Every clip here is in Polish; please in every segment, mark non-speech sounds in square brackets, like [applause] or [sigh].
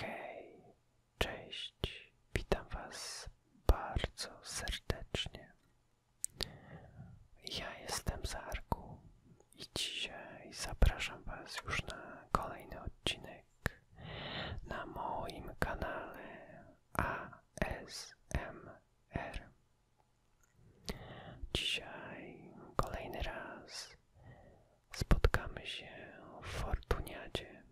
Hej, cześć, witam Was bardzo serdecznie. Ja jestem Zarku i dzisiaj zapraszam Was już na kolejny odcinek na moim kanale ASMR. Dzisiaj kolejny raz spotkamy się w Fortuniadzie.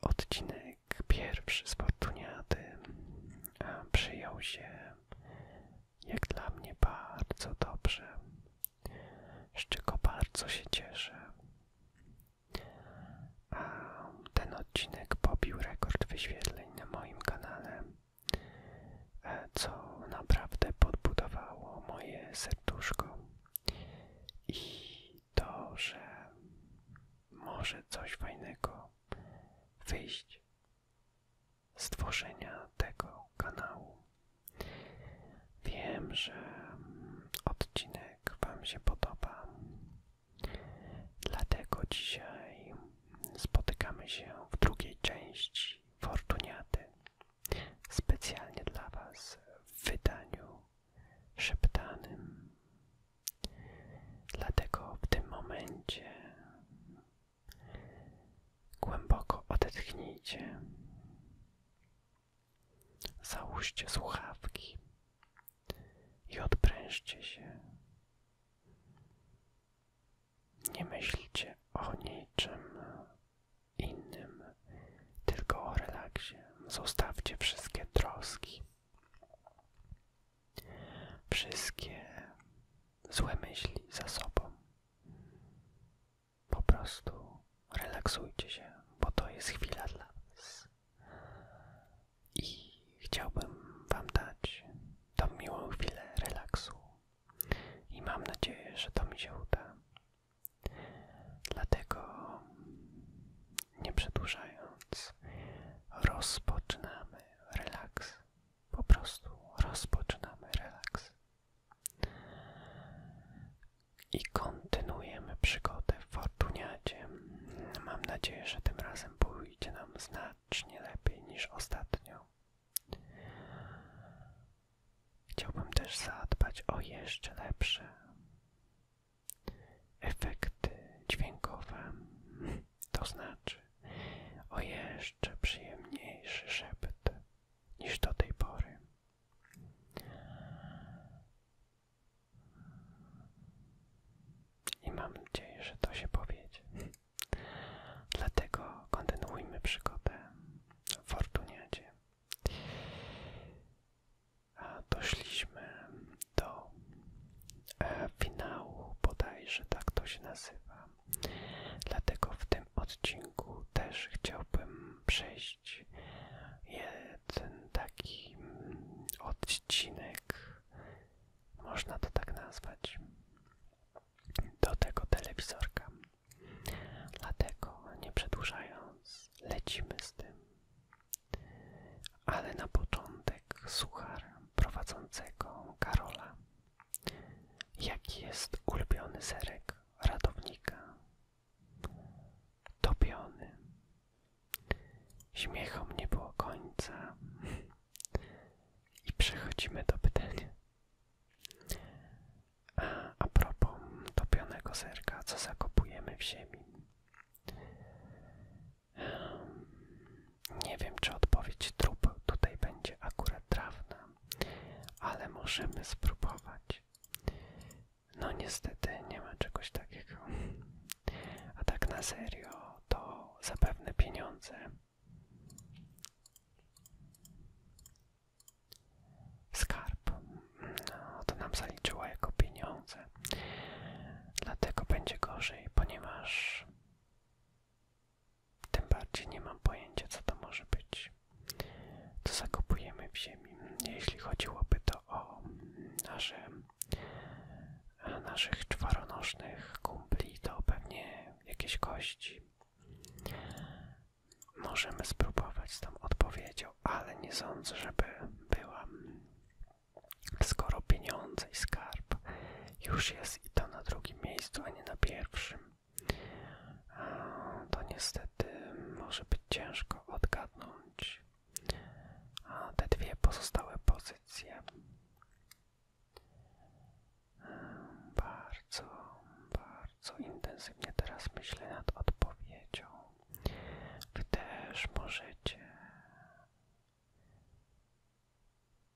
Odcinek pierwszy z Fortuniady przyjął się jak dla mnie bardzo dobrze, z czego bardzo się cieszę. A ten odcinek pobił rekord wyświetleń na moim kanale co naprawdę podbudowało moje serduszko i to, że może coś fajnego wyjść z tworzenia tego kanału. Wiem, że odcinek Wam się podoba, dlatego dzisiaj spotykamy się w drugiej części Fortuniaty specjalnie dla Was w wydaniu szeptanym. Dlatego w tym momencie głęboko odetchnijcie. Załóżcie słuchawki i odprężcie się. Nie myślcie o niczym innym, tylko o relaksie. Zostawcie wszystkie troski, wszystkie złe myśli za sobą. Po prostu relaksujcie się, bo to jest chwila dla Was. I chciałbym Wam dać tą miłą chwilę relaksu, i mam nadzieję, że to mi się uda. Dlatego, nie przedłużając, rozpoczynamy relaks. Po prostu rozpoczynamy relaks. I kontynuujemy przygodę w Fortuniacie. Mam nadzieję, że tym razem pójdzie nam znacznie lepiej niż ostatnio. Chciałbym też zadbać o jeszcze lepsze efekty dźwiękowe, to znaczy o jeszcze przyjemniejszy szept niż do tej pory. I mam nadzieję, że to się powiedzie. Dlatego kontynuujmy przygodę Fortuniacie. A doszliśmy do e, finału, bodajże tak to się nazywa. Dlatego w tym odcinku też chciałbym przejść jeden taki mm, odcinek, można to tak nazwać, do tego telewizorka. Dlatego, nie przedłużając, lecimy z tym. Ale na początek suchar prowadzącego Karola. Jaki jest ulubiony zerek ratownika? dobiony, Śmiechom nie było końca. I przechodzimy do pytania. A, a propos topionego serka, co zakopujemy w ziemi? Nie wiem, czy odpowiedź trup tutaj będzie akurat trafna, ale możemy spróbować. No niestety nie ma czegoś takiego. A tak na serio, to zapewne pieniądze skarb. No, to nam zaliczyło jako pieniądze. Dlatego będzie gorzej, ponieważ tym bardziej nie mam pojęcia, co to może być. To zakopujemy w ziemi. Jeśli chodziłoby to o naszych czwaronożnych kumpli, to pewnie jakieś kości. Możemy spróbować z tą odpowiedzią, ale nie sądzę, żeby była. Skoro pieniądze i skarb już jest i to na drugim miejscu, a nie na pierwszym, to niestety może być ciężko odgadnąć te dwie pozostałe pozycje. Bardzo, bardzo intensywnie teraz myślę nad odpowiedzią. Wy też możecie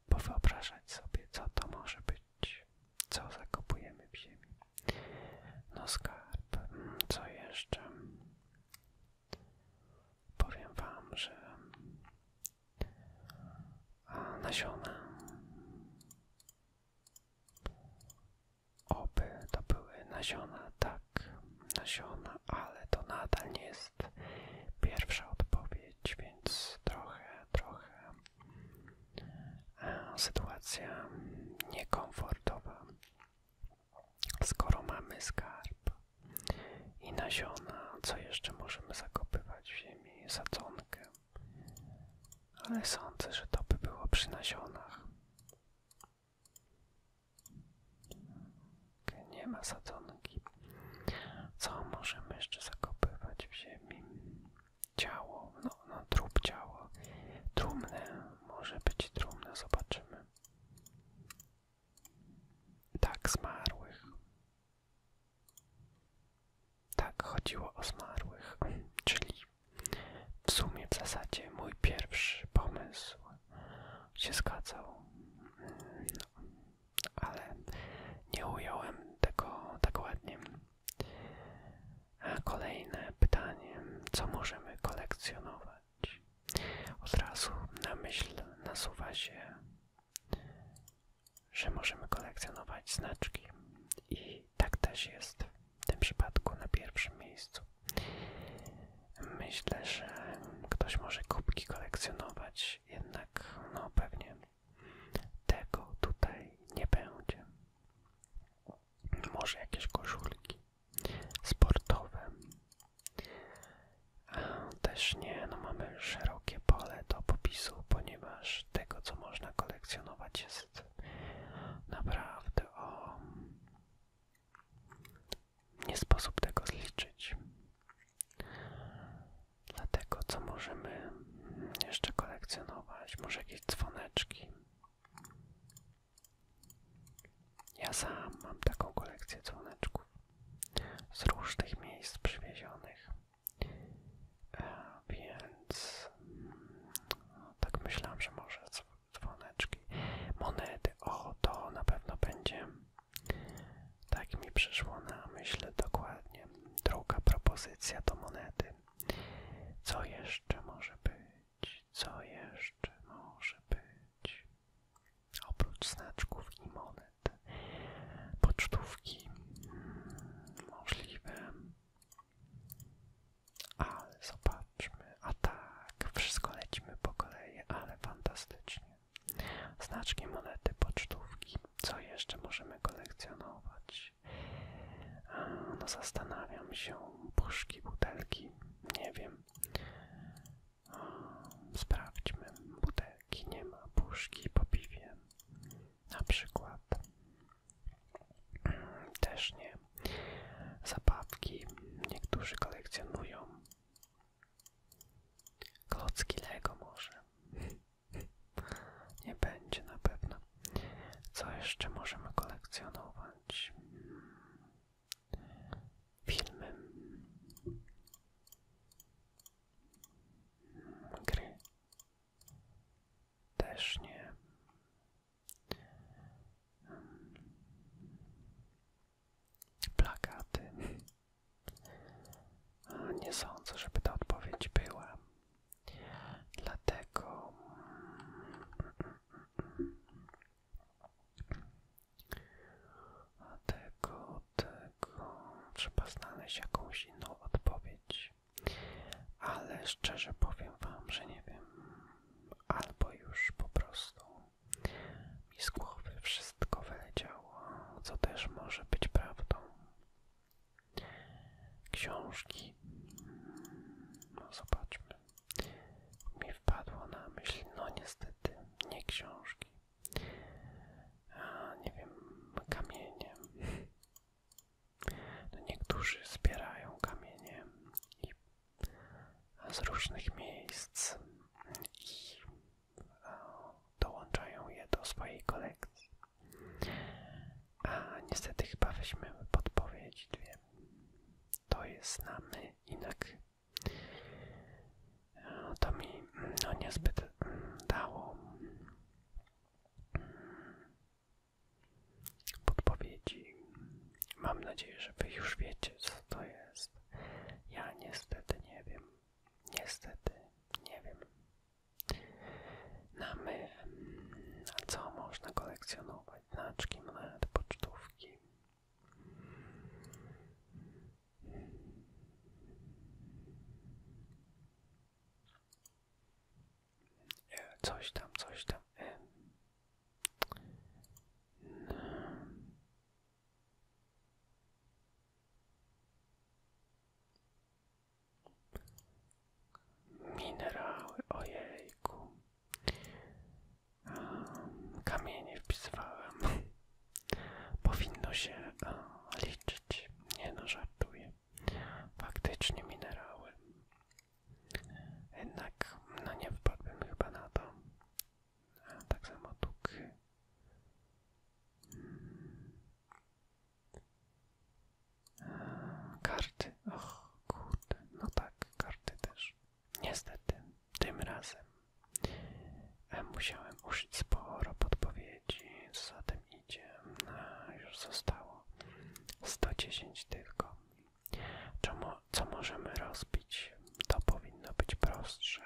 powyobrażać sobie, co to może być, co zakopujemy w ziemi. No skarb, co jeszcze? Powiem wam, że nasiona Oby to były nasiona, tak, nasiona, ale to nadal nie jest pierwsza odpowiedź, więc trochę, trochę e, sytuacja niekomfortowa. Skoro mamy skarb i nasiona, co jeszcze możemy zakopywać w ziemi? Sadzonkę ale sądzę, że to by było przy nasionach. nie ma sadzonki. Co możemy jeszcze zakopywać w ziemi? Ciało, no, no trup ciało. Trumne, może być trumne, zobaczymy. Tak, zmarłych. Tak, chodziło o zmarłych, czyli w sumie w zasadzie mój pierwszy pomysł się zgadzał, ale nie ująłem tego tak ładnie. A kolejne pytanie, co możemy kolekcjonować? Od razu na myśl nasuwa się że możemy kolekcjonować znaczki i tak też jest w tym przypadku na pierwszym miejscu. Myślę, że ktoś może kubki kolekcjonować, jednak no pewnie tego tutaj nie będzie. Może jakieś koszulki sportowe. A też nie, no mamy szerokie pole do popisu, ponieważ tego co można kolekcjonować jest naprawdę o. Nie sposób tego zliczyć. Dlatego, co możemy jeszcze kolekcjonować? Może jakieś dzwoneczki. Ja sam mam taką kolekcję dzwoneczków z różnych miejsc przywiezionych. E, więc mm, tak myślałam, że może dzwoneczki. Monety. Oto na pewno będzie. Tak mi przyszło na myśl dokładnie. Druga propozycja to monety. Co jeszcze może być? Co jeszcze może być? Oprócz znaczków i monet. Pocztówki. Hmm, możliwe. Ale zobaczmy. A tak, wszystko lecimy po kolei, ale fantastycznie. Znaczki, monety, pocztówki. Co jeszcze możemy kolekcjonować? no zastanawiam się. Puszki, butelki. Nie wiem. sprawdźmy. Butelki nie ma. Puszki po piwie na przykład. Też nie. Zabawki niektórzy kolekcjonują. Klocki Lego może. Nie będzie na pewno. Co jeszcze możemy kolekcjonować? Filmy. Gry. Też nie. Plakaty. Nie sądzę, żeby ta odpowiedź była. Dlatego a tego, tego trzeba znaleźć jakąś inną odpowiedź. Ale szczerze powiem Wam, że nie wiem. Albo już po prostu mi z głowy wszystko wyleciało, co też może być prawdą. Książki. No zobaczmy. Mi wpadło na myśl, no niestety, nie książki. nie wiem, kamienie. No, niektórzy zbierają kamienie i z różnych miejsc i e, dołączają je do swojej kolekcji. A niestety chyba weźmiemy podpowiedzi dwie. To jest na my e, To mi no, niezbyt mm, dało. Mm, podpowiedzi. Mam nadzieję, że Wy już wiecie, co to jest. Ja niestety nie wiem. Niestety nie wiem. Na my, co można kolekcjonować? Znaczki, monety, pocztówki coś tam, coś tam. Minerały, ojejku. Kamienie wpisywałem. Powinno się liczyć. Nie no, żartuję faktycznie minerały. Jednak no nie wpadłbym chyba na to. A tak samo tuky. Hmm. karty. Och, kurde. No tak, karty też. Niestety, tym razem e, musiałem użyć sporo podpowiedzi, zatem Widzicie, już zostało 110 tylko. Co, co możemy rozbić? To powinno być prostsze.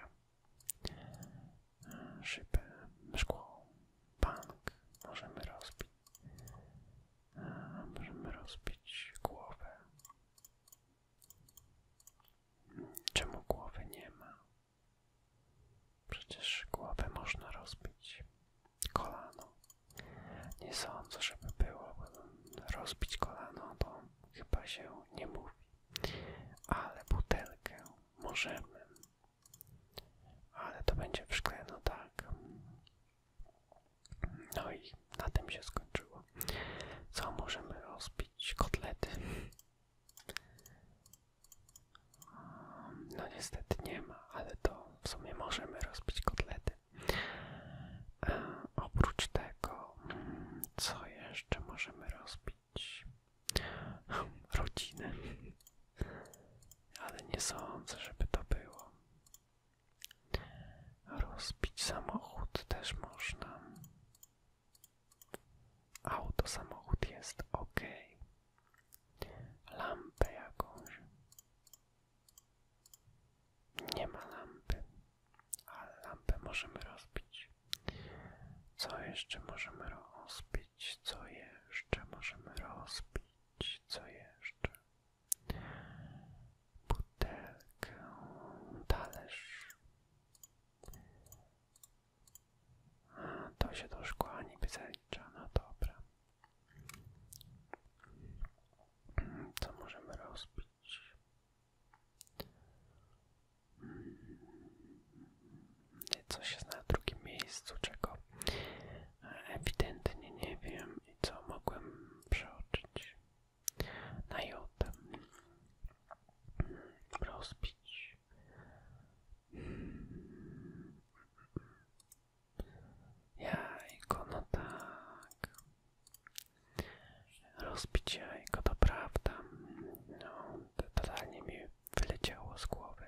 Szybę, szkło, bank możemy rozbić. Możemy rozbić głowę. Hmm, czemu głowy nie ma? Przecież głowę można rozbić. Kolano. Nie sądzę, żeby było rozbić kolano, bo chyba się nie mówi. Ale butelkę możemy. Ale to będzie w szkle, no tak. No i na tym się skończyło. Co możemy rozbić? Kotlety. No niestety nie ma, ale to w sumie możemy rozbić kotlety. E, oprócz tego, co jeszcze możemy rozbić? Rodziny, Ale nie sądzę, żeby to było. Rozbić samochód też można. Auto, samochód jest ok lampę jakąś. Nie ma lampy, ale lampę możemy rozbić. Co jeszcze możemy rozbić? Co jeszcze możemy rozbić? Co jeszcze? Butelkę, talerz. A, to się do szkła niby zalicza, no dobra. Co możemy rozbić? Hmm. Coś jest na drugim miejscu, czego ewidentnie nie wiem co mogłem przeoczyć. Na jotem hmm. rozbić. Hmm. Jajko, no tak. Rozpicia, jajko, to prawda. No, totalnie mi wyleciało z głowy.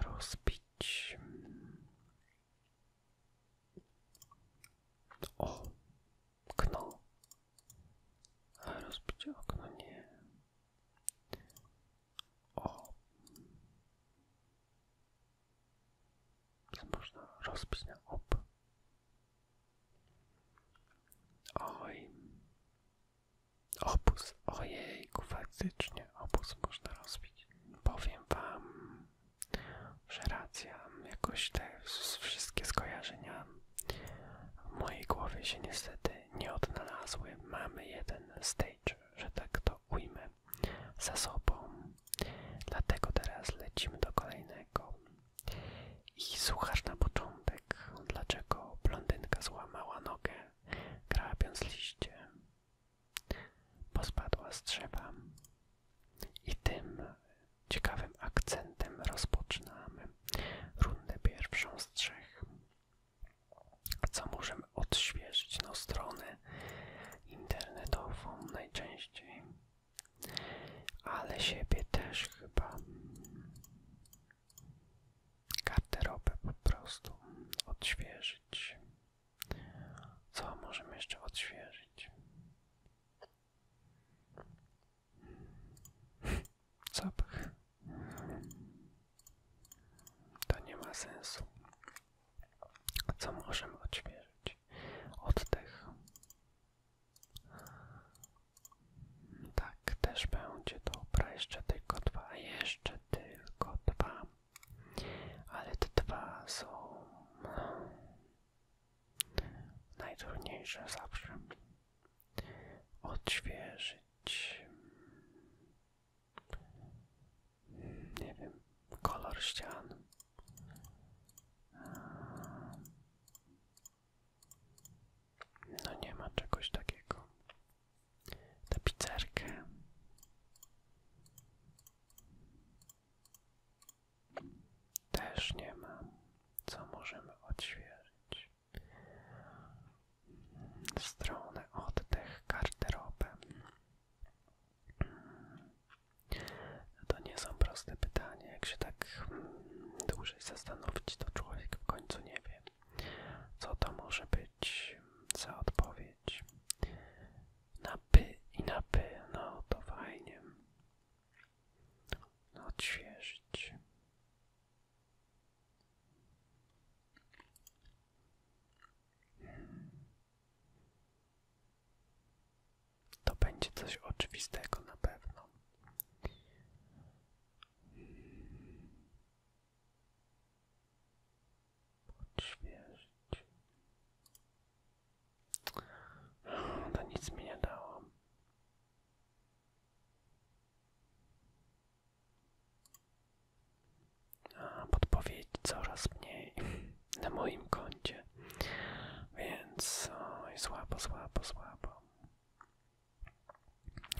Rozbić. O, okno. A okno nie o. Można rozbić na ob. Oj. opus. Ojejku, faktycznie Opus, można rozbić. Powiem wam, że racja, jakoś te wszystkie skojarzenia w mojej głowie się niestety nie odnalazły. Mamy jeden stage że tak to ujmę, za sobą. Dlatego teraz lecimy do kolejnego. I słuchasz na początek, dlaczego blondynka złamała nogę, grabiąc liście. Pospadła z drzewa. I tym ciekawym akcentem rozpoczynamy rundę pierwszą z trzech co możemy odświeżyć na stronę internetową najczęściej, ale siebie też chyba garderobę po prostu odświeżyć. Co możemy jeszcze odświeżyć? Zapach. [laughs] To nie ma sensu. Co możemy odświeżyć? Oddech. Tak, też będzie dobra. Jeszcze tylko dwa. Jeszcze tylko dwa. Ale te dwa są najtrudniejsze zawsze. Odświeżyć nie wiem, kolor ścian. No nie ma czegoś takiego. Tapicerkę. Też nie ma. Co możemy odświeżyć? stronę oddech garderobę? No to nie są proste pytania. Jak się tak hmm, dłużej zastanowić, to człowiek w końcu nie wie, co to może być za odpowiedź. Na py i na py, no to fajnie. No, odświeżyć. To będzie coś oczywistego na pewno. Odświeżyć. To nic mi nie dało a coraz mniej [laughs] na moim koncie, więc oj, słabo, słabo, słabo.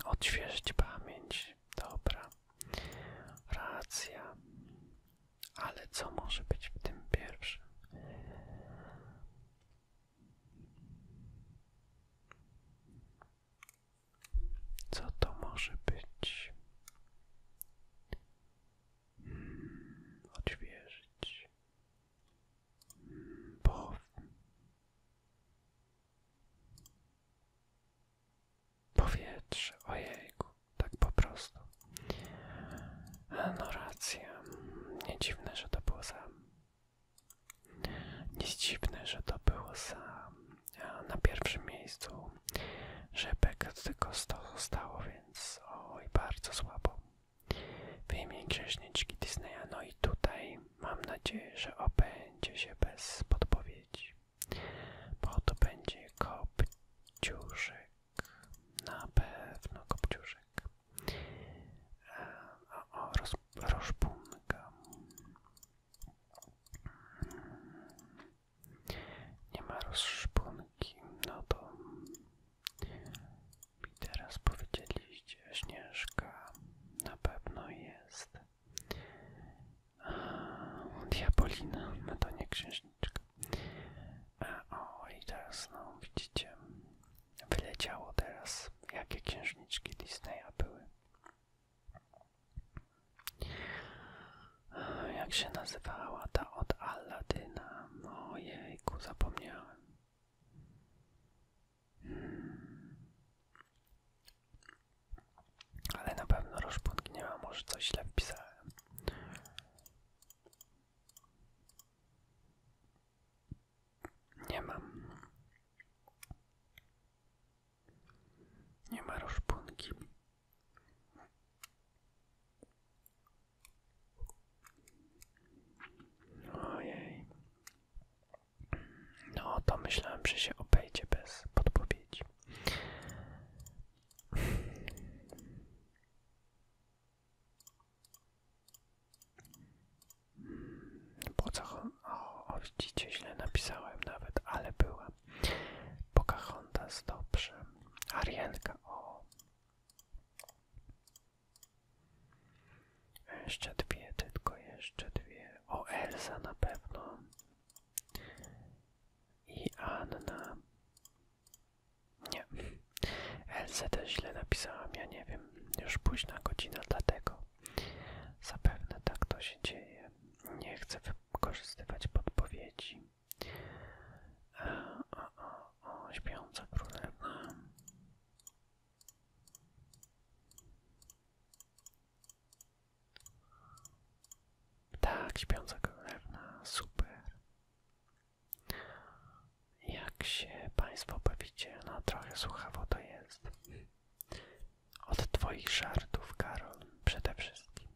Odświeżyć pamięć, dobra, racja, ale co może być w tym pierwszym? Co to może być? Hmm, odświeżyć. Hmm, Powietrze, ojejku, tak po prostu. No racja, nie dziwne, że to było sam. Nie dziwne, że to było sam na pierwszym miejscu rzepek tylko 100 zostało, więc i bardzo słabo. W imię Grzeszniczki Disneya, no i tutaj mam nadzieję, że obędzie się bez podpowiedzi, bo to będzie Kopciuszek, na pewno Kopciuszek. E, o, roz, nie ma rozszponki, no to mi teraz powiedzieliście, Śnieżka na pewno jest. Diabolina, no to nie księżniczka. o, i teraz, no widzicie, wyleciało teraz, jakie księżniczki Disneya były. Jak się nazywała ta od Alladyna? Ojejku, zapomniałem. Hmm. Ale na pewno Roszpunki może coś źle wpisałem. Nie mam. Nie ma rozpunki. Ojej. No to myślałem, że się obejdzie bez podpowiedzi. Po co, o, widzicie, źle napisałem nawet, ale była. Pocahontas, dobrze. Arienka, o. Jeszcze dwie, tylko jeszcze dwie. O, Elza na pewno. I Anna. Nie. Elzę też źle napisałam, ja nie wiem. Już późna godzina, dlatego. Zapewne tak to się dzieje. Nie chcę wykorzystywać podpowiedzi. E, o, o, o, śpiąca królewna. Tak, śpiąca królewna, super. Jak się Państwo bawicie? No trochę słuchawo to jest. Od Twoich żartów, Karol, przede wszystkim.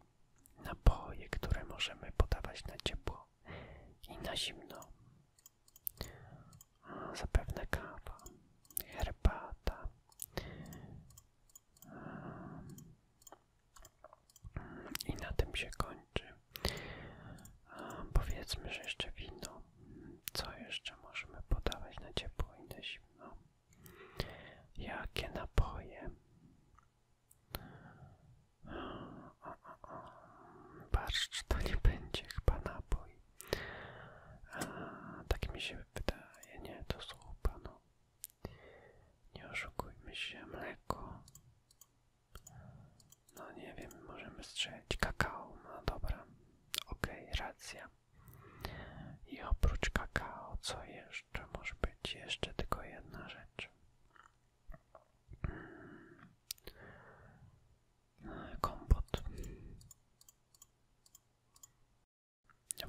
Napoje, które możemy podawać na ciepło i na zimno. Zapewne kawa, herbata. I na tym się kończy. Powiedzmy, że jeszcze wino. Co jeszcze możemy podawać na ciepło i na zimno? Jakie napoje? O, o, to nie będzie chyba napój. tak mi się wydaje, nie, to zupa, no. Nie oszukujmy się, mleko. No nie wiem, możemy strzelić kakao, no dobra. Okej, racja. I oprócz kakao, co jeszcze może być? Jeszcze tylko jedna rzecz. Hmm. Kompot.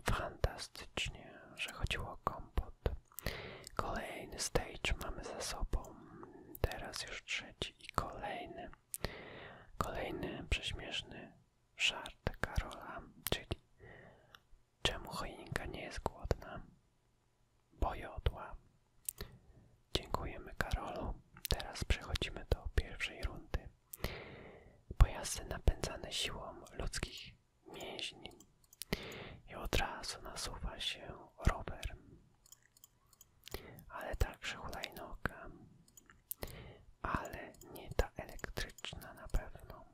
Fantastycznie, że chodziło o kompot. Kolejny stage mamy za sobą. Teraz już trzeci i kolejny. Kolejny prześmieszny Żart Karola, czyli czemu choinka nie jest głodna? Bo jodła. Dziękujemy Karolu. Teraz przechodzimy do pierwszej rundy. Pojazdy napędzane siłą ludzkich mięśni. I od razu nasuwa się rower, ale także hulajnoga ale nie ta elektryczna na pewno.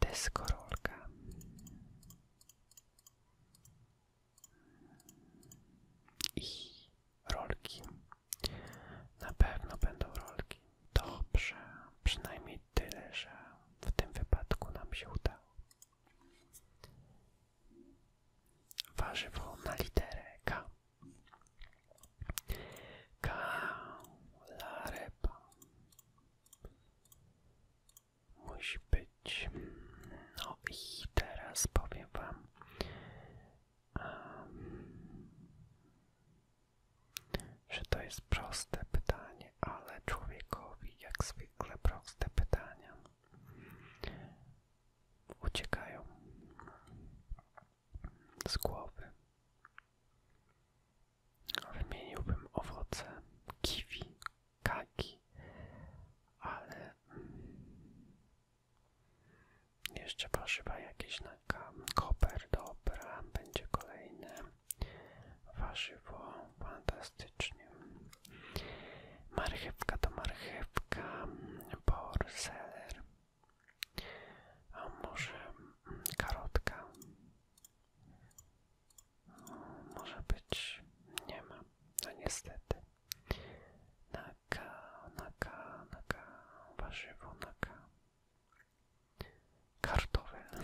Deskorolka. I rolki. Na pewno będą rolki. Dobrze, przynajmniej tyle, że w tym wypadku nam się udało. Warzywo na literę K. Kaula repa musi być. No i teraz powiem wam. że to jest proste pytanie, ale człowiekowi jak zwykle proste pytania uciekają z głowy. Wymieniłbym owoce kiwi, kaki, ale mm, jeszcze pożywa jakieś na koper, dobra, będzie kolejne warzywo, fantastycznie. Marchewka to marchewka, borseler, mm, a może mm, karotka? Mm, może być. Nie ma. No niestety. Naka, naka, naka. Warzywo, naka. Kartofel.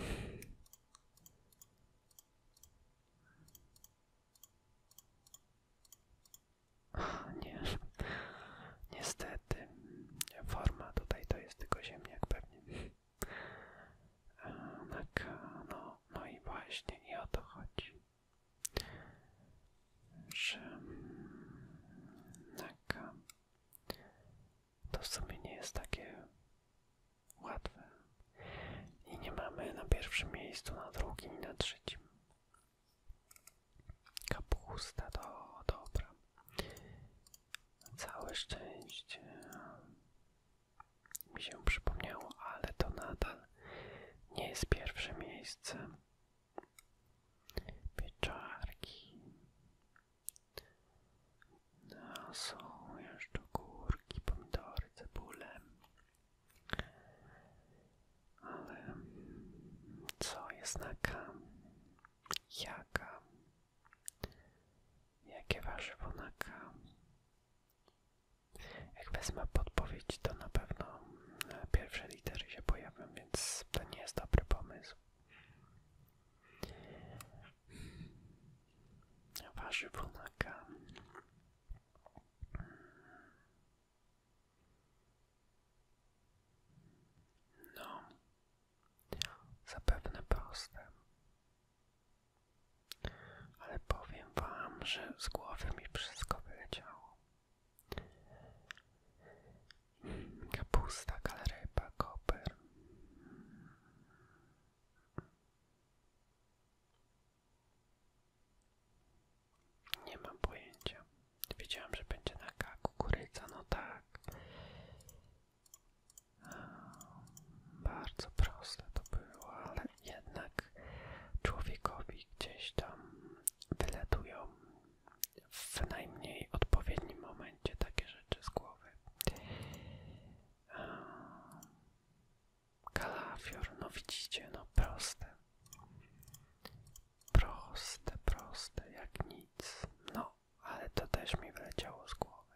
Nie, niestety forma tutaj to jest tylko ziemniak pewnie. Eee, no, no, no i właśnie i o to chodzi. Że taka, to w sumie nie jest takie łatwe. I nie mamy na pierwszym miejscu, na drugim i na trzecim. Kapusta, to dobra. Całe szczęście mi się przypomniało, ale to nadal nie jest pierwsze miejsce. Pieczarki. No, są jeszcze górki, pomidory, cebule. Ale co jest na kam? Jaka? Jakie warzywo na K? Jak wezmę podpowiedź, to na pewno e, pierwsze litery się pojawią, więc to nie jest dobry pomysł. Warzywo na no, zapewne proste. Ale powiem wam, że z głowy mi wszystko wyleciało. Kapusta, kalerypa, koper. Nie mam pojęcia. Wiedziałem, że będzie na kaku kukurydza, no tak. Ehm, bardzo proste to było, ale jednak człowiekowi gdzieś tam wyletują w najmniej odpowiednim momencie takie rzeczy z głowy. Ehm, kalafior, no widzicie, no proste. Proste, proste jak nic. No, ale to też mi wleciało z głowy.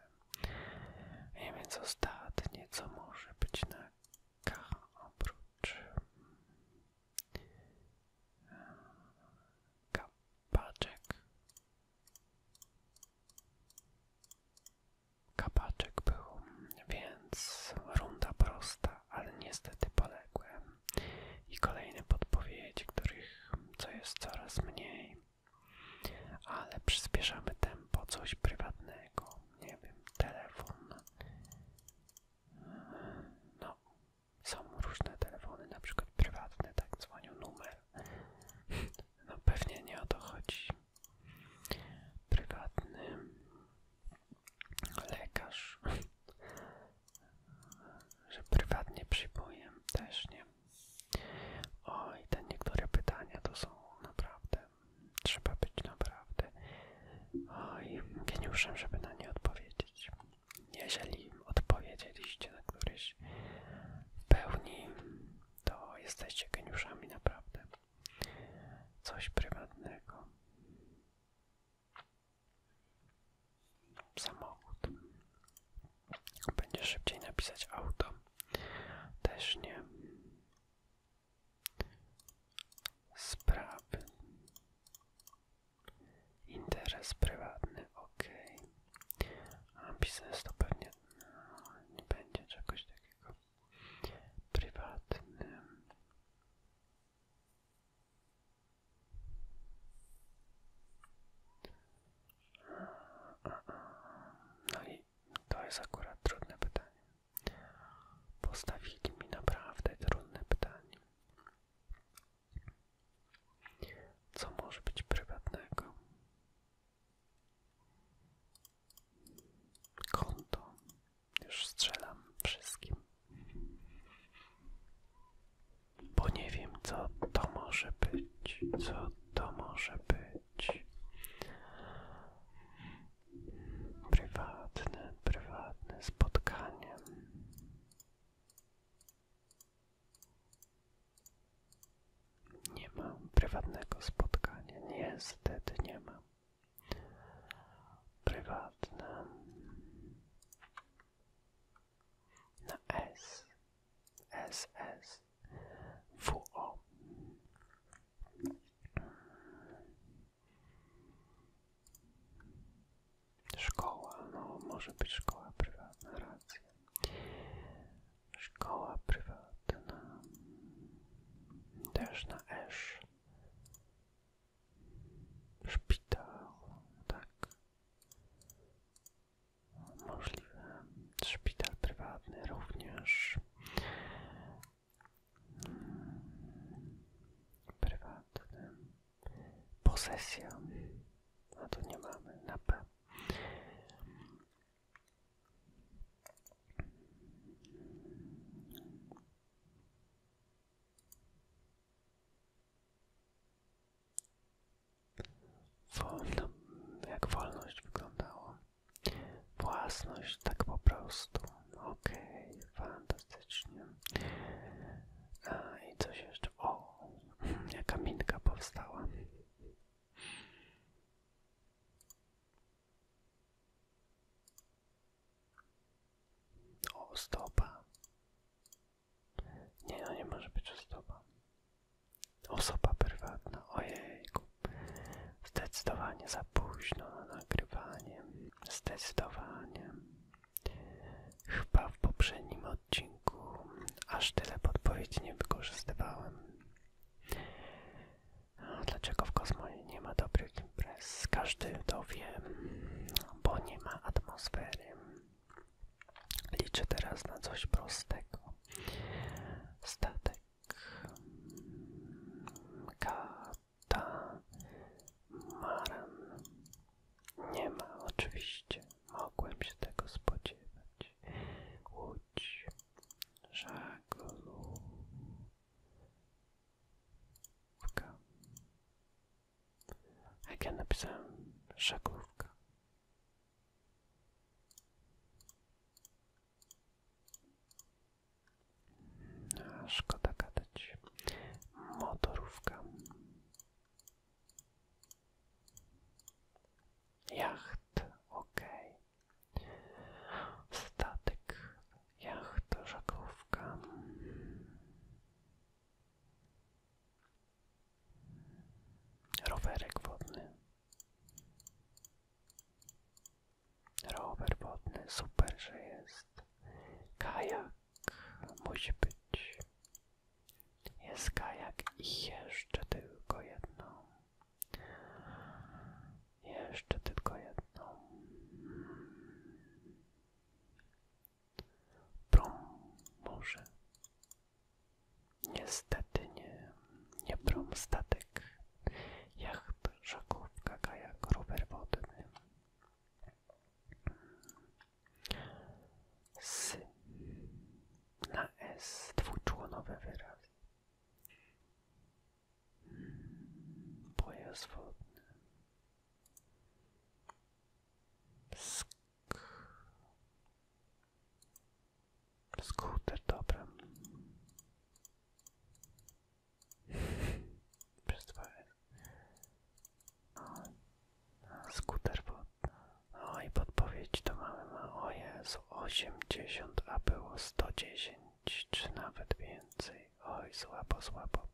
I więc ostatnie, co może być na K oprócz mm, kapaczek. Kapaczek był, więc runda prosta, ale niestety poległem i kolejne podpowiedzi, których co jest coraz mniej, ale przyspieszamy tempo coś prywatnego, nie wiem, telefon. No, są różne telefony, na przykład prywatne, tak dzwoniu numer. No pewnie nie o to chodzi. Prywatny lekarz, że prywatnie przyjmuję też nie. O i te niektóre pytania to są naprawdę, trzeba być naprawdę oj, geniuszem, żeby na nie odpowiedzieć. Jeżeli odpowiedzieliście na któryś w pełni, to jesteście geniuszami naprawdę. Coś prywatnego samochód. Będzie szybciej napisać auto. Też nie. Sprawy. Interes prywatny, ok. A biznes to pewnie no, nie będzie czegoś takiego. Prywatny. No i to jest akurat trudne pytanie. Postawili mi naprawdę trudne pytanie. Co może być prywatnego? Konto. Już strzelam wszystkim. Bo nie wiem, co to może być. Co to może być. Prywatne, prywatne spotkanie. Nie mam prywatnego spotkania. Niestety nie mam. Prywatne na S, S, S, Szkoła, no może być szkoła prywatna, Szkoła prywatna, też na S. Szpital, tak. Możliwe. Szpital prywatny również. Hmm. Prywatny. Posesja. A tu nie mamy. Na P. Wolno, jak wolność wyglądała. Własność, tak po prostu. Okej, fantastycznie. A i coś jeszcze. O, [clears throat] jaka minka powstała. O, stopa. Nie, no nie może być osoba. Osoba prywatna, ojejku. Zdecydowanie za późno na nagrywanie. Zdecydowanie. Chyba w poprzednim odcinku aż tyle podpowiedzi nie wykorzystywałem. A dlaczego w kosmosie nie ma dobrych imprez? Każdy to wie, bo nie ma atmosfery. Liczę teraz na coś prostego. Statek. Katamaran. Nie ma, oczywiście. Mogłem się tego spodziewać. Łódź. Żaglówka jak ja napisałem żaglówka. A, no, szkoda gadać. Motorówka. Jacht, ok. Statek, jacht, żaglówka. Rowerek wodny. Rower wodny, super, że jest. Kajak musi być. Jest kajak i jeszcze tylko jedną. Jeszcze tylko jedną. Prom może. Niestety nie, nie prom statek. Jacht, żaglówka, kajak, rower wodny. S na S dwuczłonowy wyraz. Pojazd Sk Skuter, dobra. [laughs] Przestwałem. Skuter, bo... podpowiedź to mamy, ma... o Jezu, osiemdziesiąt, a było sto dziesięć, czy nawet więcej. Oj, słabo, słabo.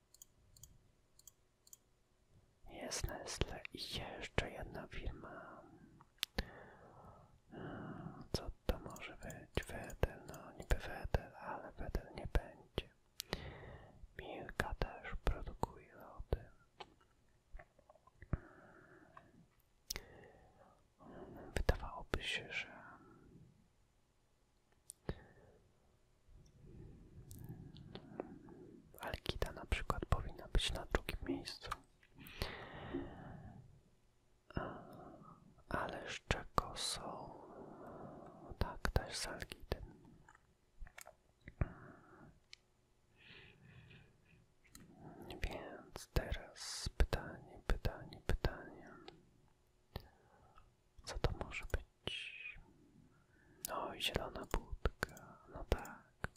Jest Nestle i jeszcze jedna firma. Co to może być? Wedel, no niby Wedel, ale Wedel nie będzie. Milka też produkuje lody. Hmm, wydawałoby się, że Alkida na przykład powinna być na drugim miejscu. Ale z Tak, też z Alkidy. Więc teraz pytanie, pytanie, pytanie. Co to może być? No i zielona budka, no tak.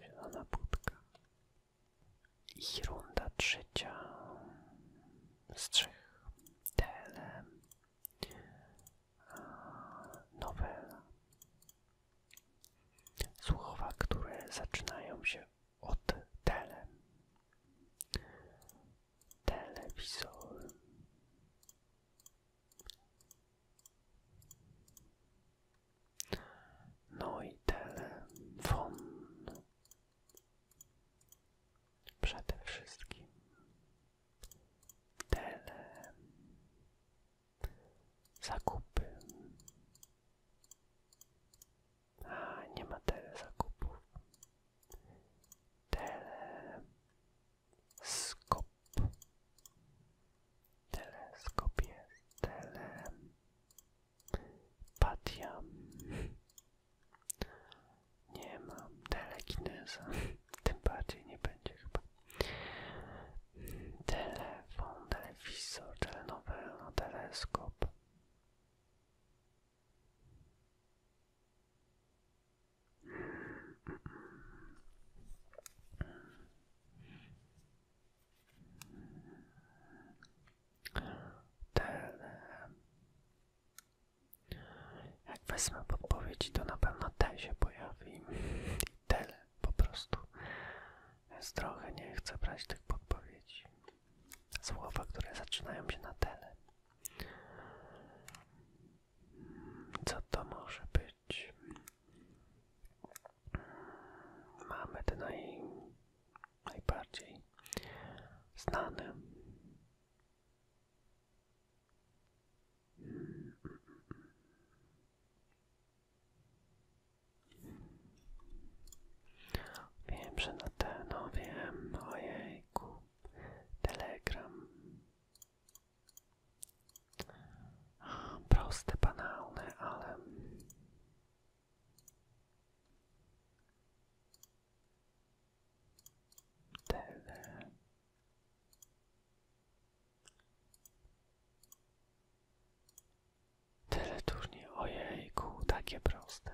Zielona budka. I runda trzecia z trzech. Tele. Nowela. słuchowa, które zaczynają się od tele. Telewizor. No i Przede wszystkim tele. Zakupy. A, nie ma tele zakupów. Teleskop. Teleskop jest. Tele. Nie mam telekinesa. Tym bardziej nie będzie chyba. Telefon, telewizor, telenowela, teleskop. Tele. Jak wezmę podpowiedzi, to na pewno te się pojawi. [laughs] tyle po prostu. Więc trochę nie chcę brać tych podpowiedzi słowa, które zaczynają się na tele. Co to może być? Mamy te najbardziej znane. Wiem, że na te, no wiem, ojejku. Telegram. Proste, banalne, ale... Tyle turniej, ojejku, takie proste.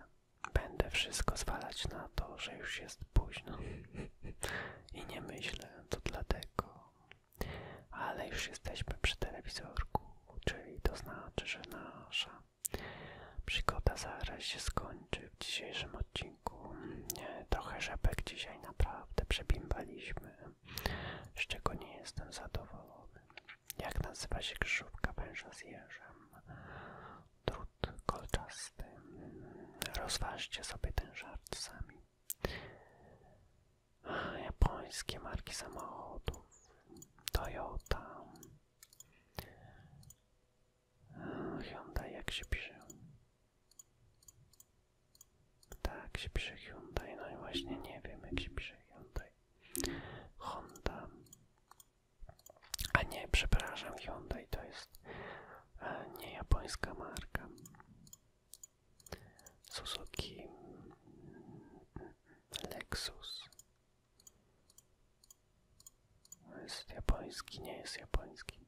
Będę wszystko zwalać na to, że już jest późno. I nie myślę, to dlatego. Ale już jesteśmy przy telewizorku, czyli to znaczy, że nasza przygoda zaraz się skończy w dzisiejszym odcinku. trochę rzepek dzisiaj naprawdę przebimbaliśmy, z czego nie jestem zadowolony. Jak nazywa się krzyżówka węża z jeżem? Trud kolczasty. Rozważcie sobie ten żart sami. japońskie marki samochodów. Toyota. Hyundai, jak się pisze? Tak jak się pisze Hyundai, no i właśnie nie wiem jak się pisze Hyundai. Honda, a nie, przepraszam, Hyundai to jest e, nie japońska marka. Suzuki Lexus. Jest japoński, nie jest japoński.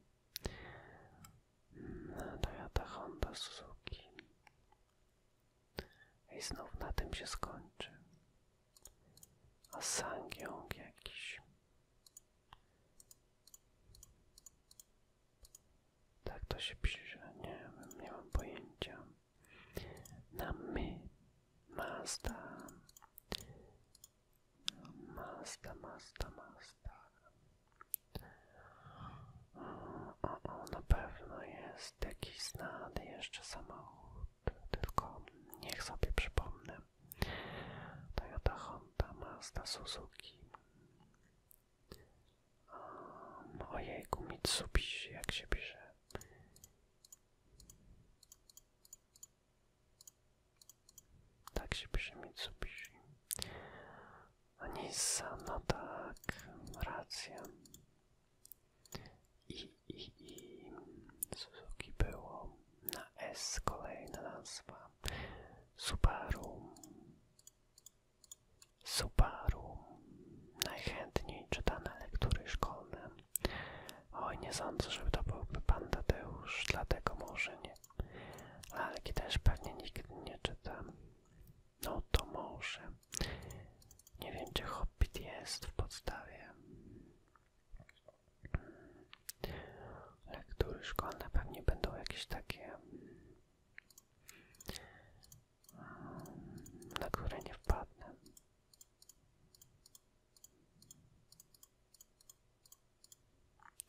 No, Toyota Honda Suzuki. I znów na tym się skończy. A sangiąg jakiś. Tak to się pisze, nie wiem, nie mam pojęcia. Na my. Mazda. Mazda, Mazda, Mazda. O, o, na pewno jest jakiś znany jeszcze samochód tylko niech sobie przypomnę. Toyota Honda, Mazda, Suzuki. Um, ojejku, Mitsubishi, jak się pisze. Tak się pisze Mitsubishi. A Nissan, no tak, racja. I, i, i Suzuki było na S kolejna nazwa Subaru Subaru najchętniej czytane lektury szkolne Oj, nie sądzę, żeby to byłby pan Tadeusz, dlatego może nie Lalki też pewnie nigdy nie czyta No to może Nie wiem, czy Hobbit jest w podstawie Lektury szkolne pewnie będą jakieś takie, mm, na które nie wpadnę.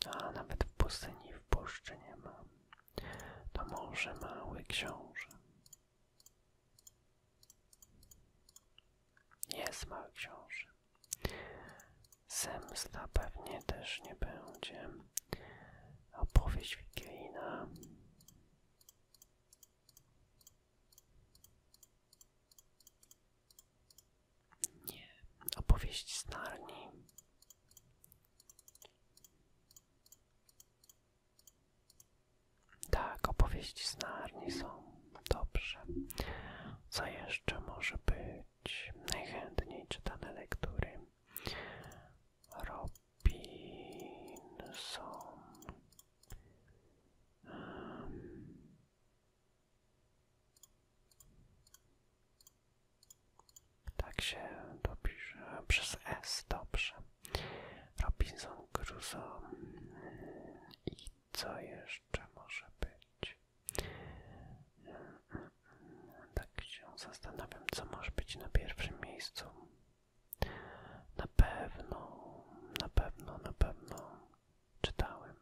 A nawet w pustyni w puszczy nie ma. To może mały książę. Jest mały książę. Zemsta pewnie też nie będzie. Opowieść wigilijna. Nie, opowieść z tak, opowieści z Narni są dobrze. Co jeszcze może być najchętniej czytane lektury? Robinson. Um. Tak się dopisze przez S, dobrze. Robinson Crusoe i co jeszcze może być? Tak się zastanawiam, co może być na pierwszym miejscu. Na pewno, na pewno, na pewno czytałem.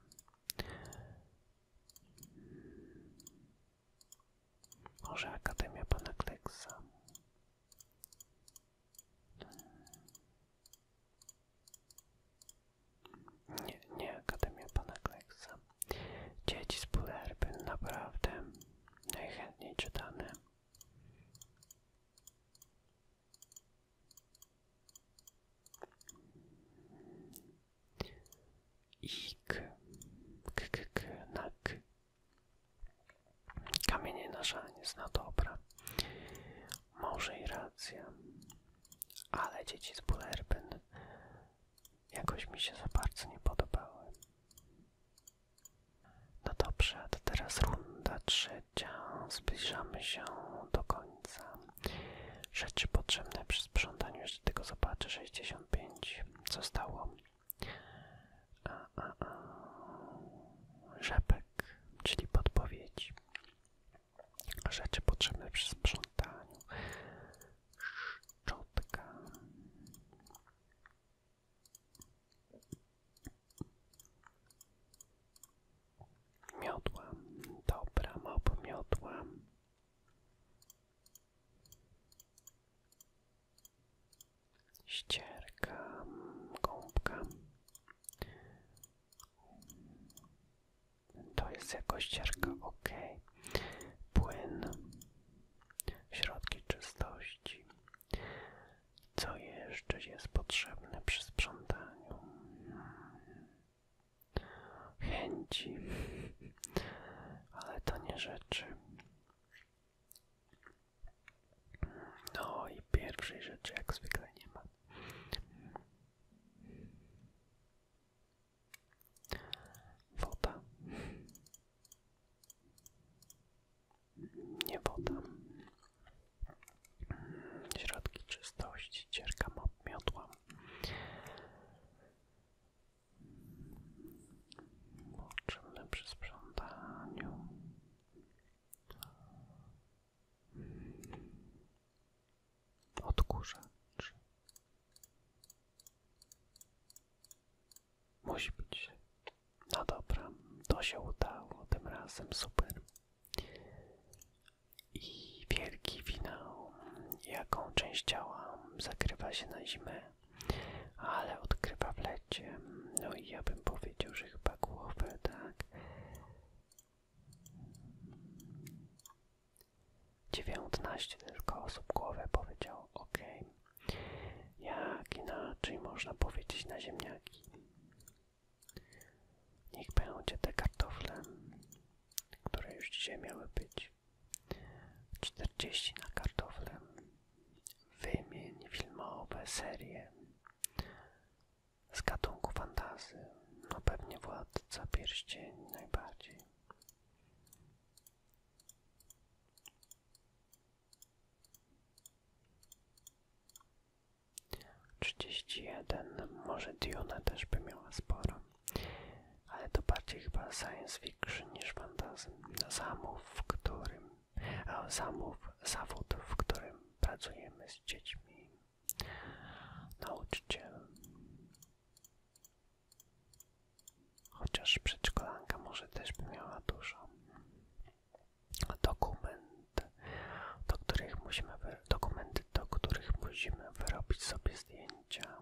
Może Akademia Pana Kleksa. Nie, nie Akademia Pana Kleksa. Dzieci z Pulerby naprawdę najchętniej czytane. Ik, k, k, k. Kamienie na żanie, no dobra. Może i racja. Ale dzieci z Bullerbyn jakoś mi się za bardzo nie podobały. No dobrze, a teraz runda trzecia. Zbliżamy się do końca. Rzeczy potrzebne przy sprzątaniu, jeszcze tego zobaczę, 65. Co stało? A, a, tak, czyli podpowiedzi. Rzeczy potrzebne przy sprzątaniu. Szczotka. Miodła. Dobra, mop miodła. Ścierka, gąbka. To jest jakoś ścierka, ok. Płyn, środki czystości. Co jeszcze jest potrzebne przy sprzątaniu? Chęci, [laughs] ale to nie rzeczy. No i pierwszej rzeczy jak zwykle nie ma. Woda. Nie woda. Środki czystości, cierka miotła. Poczynne przy sprzątaniu. Odkurzacz. Musi być. No dobra, to się udało tym razem, super. I wielki finał. Jaką część ciała zakrywa się na zimę, ale odkrywa w lecie. No i ja bym powiedział, że chyba głowę, tak? dziewiętnaście tylko osób głowę powiedział ok. Jak inaczej można powiedzieć na ziemniaki? Niech będzie te kartofle, które już dzisiaj miały być. 40 na kartofle. Wymień filmowe serie z gatunku fantazy. No pewnie Władca Pierścieni najbardziej. Trzydzieści jeden, może Dune też by miała sporo, ale to bardziej chyba science fiction niż fantazm. Zamów, w którym zamów zawód, w którym pracujemy z dziećmi. Nauczyciel. Chociaż przedszkolanka może też by miała dużo. Dokument, do których musimy dokumenty, do których musimy wyrobić sobie zdjęcia.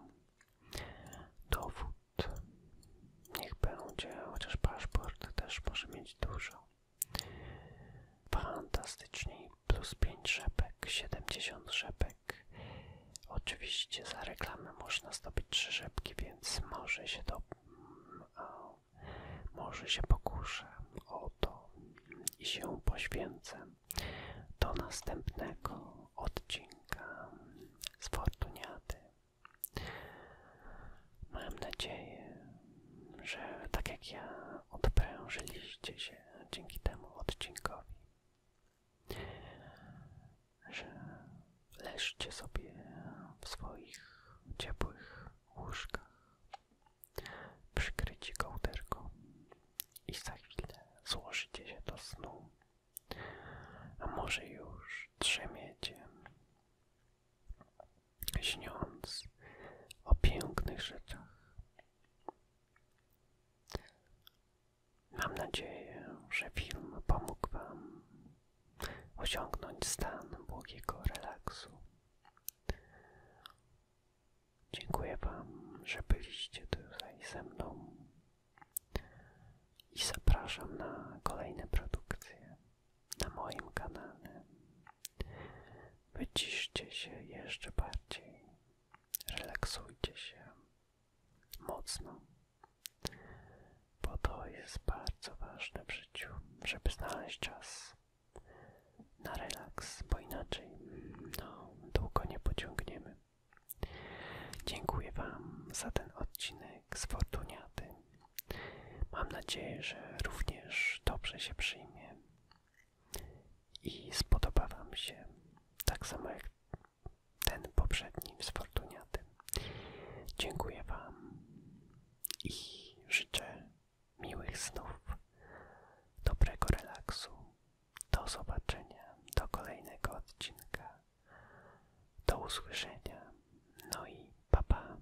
Dowód. Niech będzie, chociaż paszport też może mieć dużo. Fantastyczni plus 5 rzepek, 70 rzepek. Oczywiście za reklamę można zdobyć 3 rzepki, więc może się to może się pokuszę o to i się poświęcę. Do następnego odcinka z Fortuniady. Mam nadzieję, że tak jak ja odprężyliście się dzięki temu odcinkowi, że leżcie sobie w swoich ciepłych łóżkach, przykryci kołderką i za chwilę złożycie się do snu, a może już drzemiecie śniąc o pięknych rzeczach. Mam nadzieję, że film pomógł Wam osiągnąć stan błogiego relaksu. Dziękuję Wam, że byliście tutaj ze mną i zapraszam na kolejne produkcje na moim kanale. Wyciszcie się jeszcze bardziej. Relaksujcie się mocno, bo to jest bardzo ważne w życiu, żeby znaleźć czas na relaks, bo inaczej no, długo nie pociągniemy. Dziękuję Wam za ten odcinek z Fortuniaty. Mam nadzieję, że również dobrze się przyjmie i spodoba Wam się, tak samo jak ten poprzedni z Dziękuję Wam i życzę miłych snów, dobrego relaksu. Do zobaczenia, do kolejnego odcinka. Do usłyszenia. No i papa.